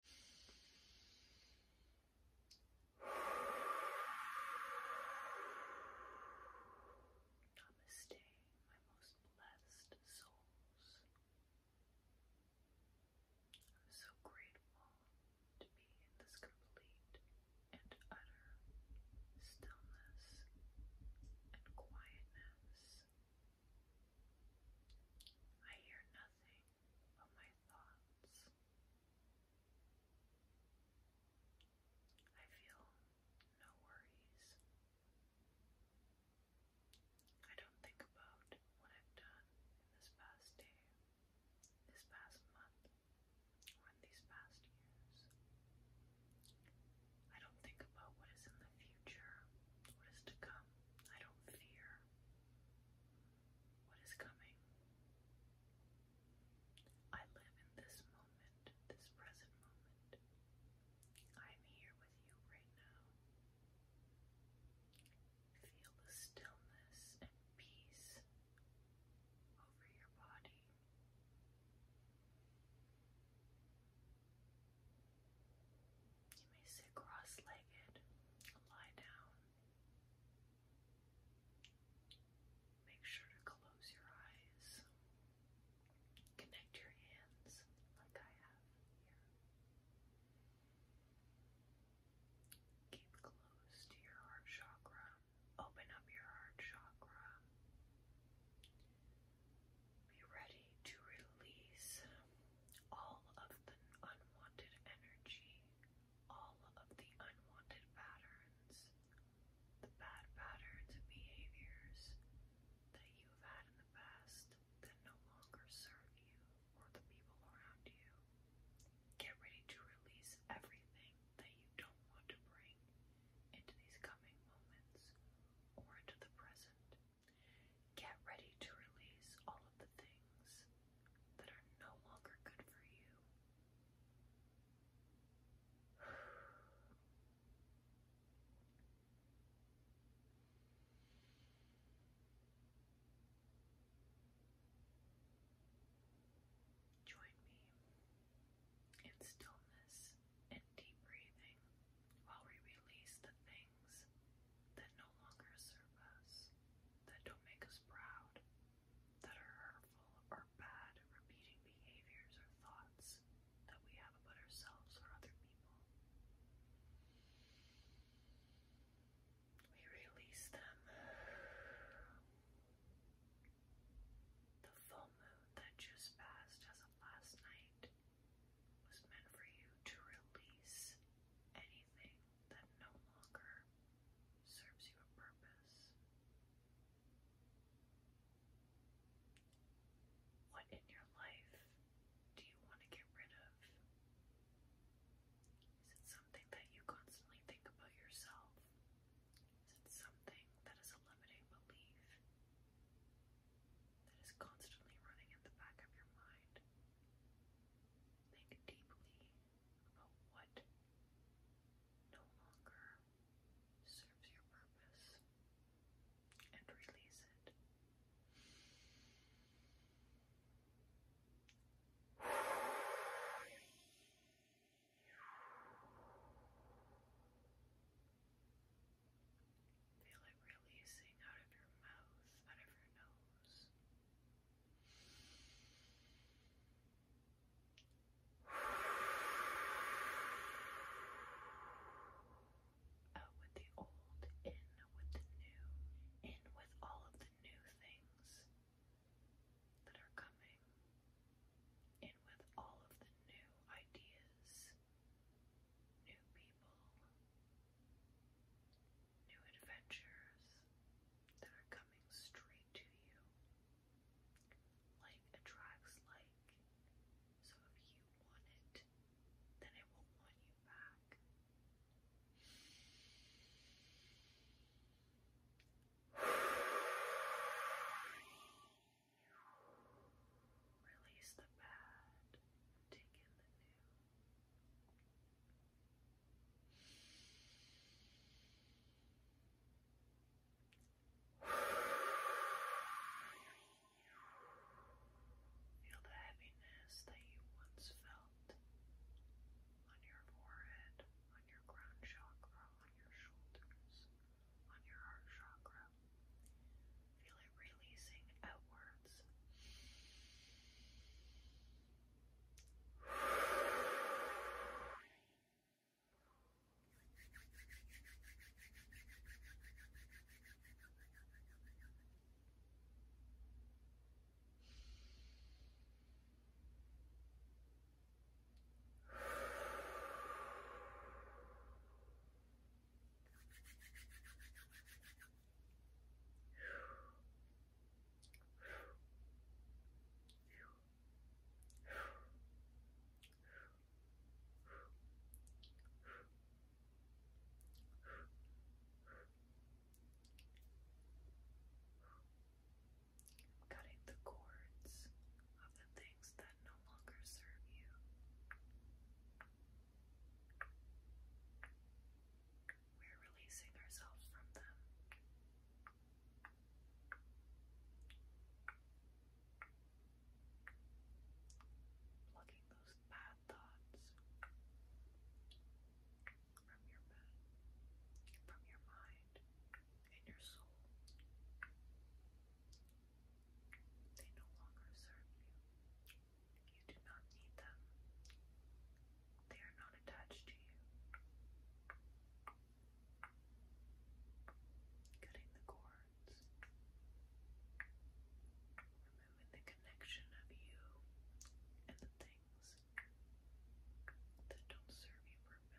Namaste, my most blessed souls. I'm so grateful to be in this complete and utter stillness and quietness. I hear nothing of my thoughts. I feel no worries. I don't think about what I've done in this past day, this past month, or in these past years. I don't think about what is in the future, what is to come. I don't fear what is coming. I live in this moment, this present moment. I am here with you right now. Feel the stillness and peace over your body. You may sit cross-legged, lie down. Make sure to close your eyes. Connect your hands like I have here. Keep close to your heart chakra. Open up your heart chakra. Be ready to release all of the unwanted energy, all of the unwanted patterns, the bad patterns and behaviors that you've had in the past that no longer serve you or the people around you. Get ready to release everything that you don't want to bring into these coming moments or into the present. Get ready to release all of the things that are no longer good for you. Join me in stillness and deep breathing while we release the things things that no longer serve us, that don't make us proud, that are hurtful or bad, repeating behaviors or thoughts that we have about ourselves or other people. We release them. The full moon that just passed as of last night was meant for you to release anything that no longer serves you purpose. What in your life do you want to get rid of? Is it something that you constantly think about yourself? Is it something that is a limiting belief? that is constantly running at the back of your mind. Think deeply about what no longer serves your purpose and release it. Feel it releasing out of your mouth, out of your nose. Out with the old, in with the new, in with all of the new things that are coming, in with all of the new ideas new people, new adventures that are coming straight to you. Like attracts like. So if you want it, then it will want you back. Release the bad take in the new. Feel the heaviness that you once felt on your forehead, on your crown chakra, on your shoulders, on your heart chakra. Feel it releasing outwards. Cutting the cords of the that no longer serve you. We're releasing ourselves from them. Plucking those bad thoughts from your bed, from your soul. They no longer serve you. You do not need them. They are not attached to you. Cutting the cords. Removing the connection of you and the things that don't serve you purpose.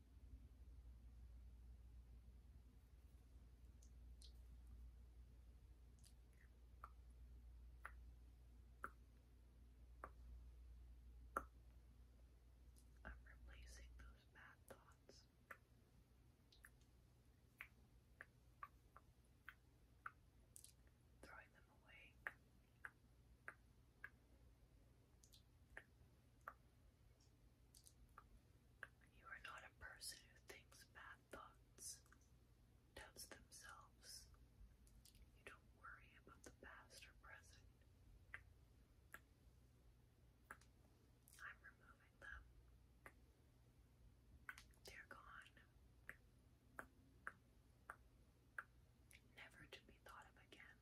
I'm replacing those bad thoughts. Throwing them away. You are not a person who thinks bad thoughts, doubts themselves. You don't worry about the past or present. I'm removing them. They're gone. Never to be thought of again.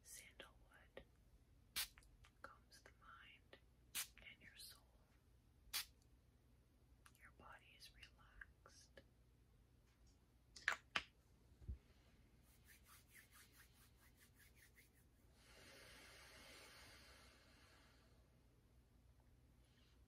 Sandalwood combs the mind and your soul. Your body is relaxed.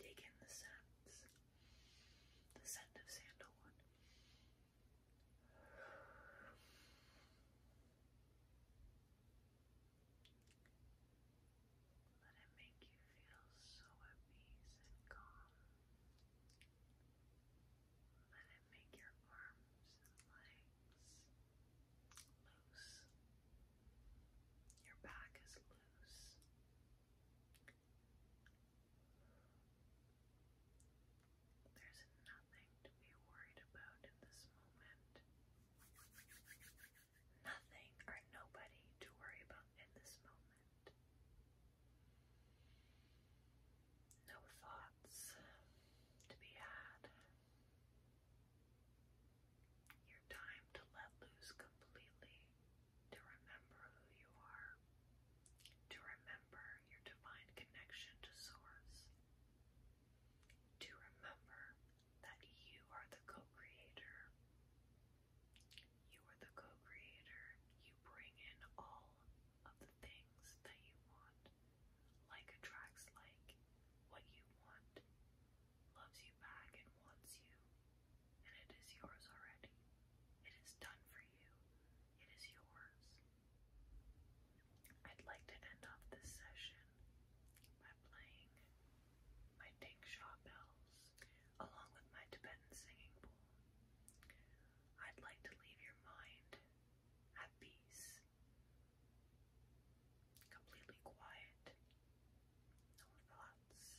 Take in the scents, the scent of sandalwood, let it make you feel so at peace and calm. Let it make your arms and legs loose. Your back is loose. There's nothing to be worried about in this moment. Nothing or nobody to worry about in this moment. No thoughts to be had. Your time to let loose completely, to remember who you are, to remember your divine connection to Source. To remember that you are the co creator. You are the co creator. You bring in all of the things that you want. Like attracts like. What you want loves you back and wants you. And it is yours already. It is done for you. It is yours. I'd like to end off this session by playing my Dingsha bells along with my Tibetan singing bowl. I'd like to leave your mind at peace, completely quiet, no thoughts,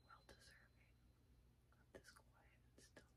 so well deserving of this quiet and stillness.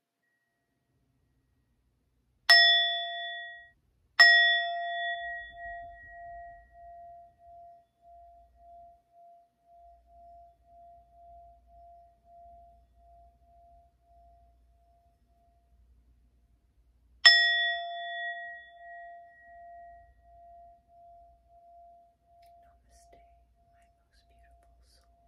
Namaste, my most beautiful souls.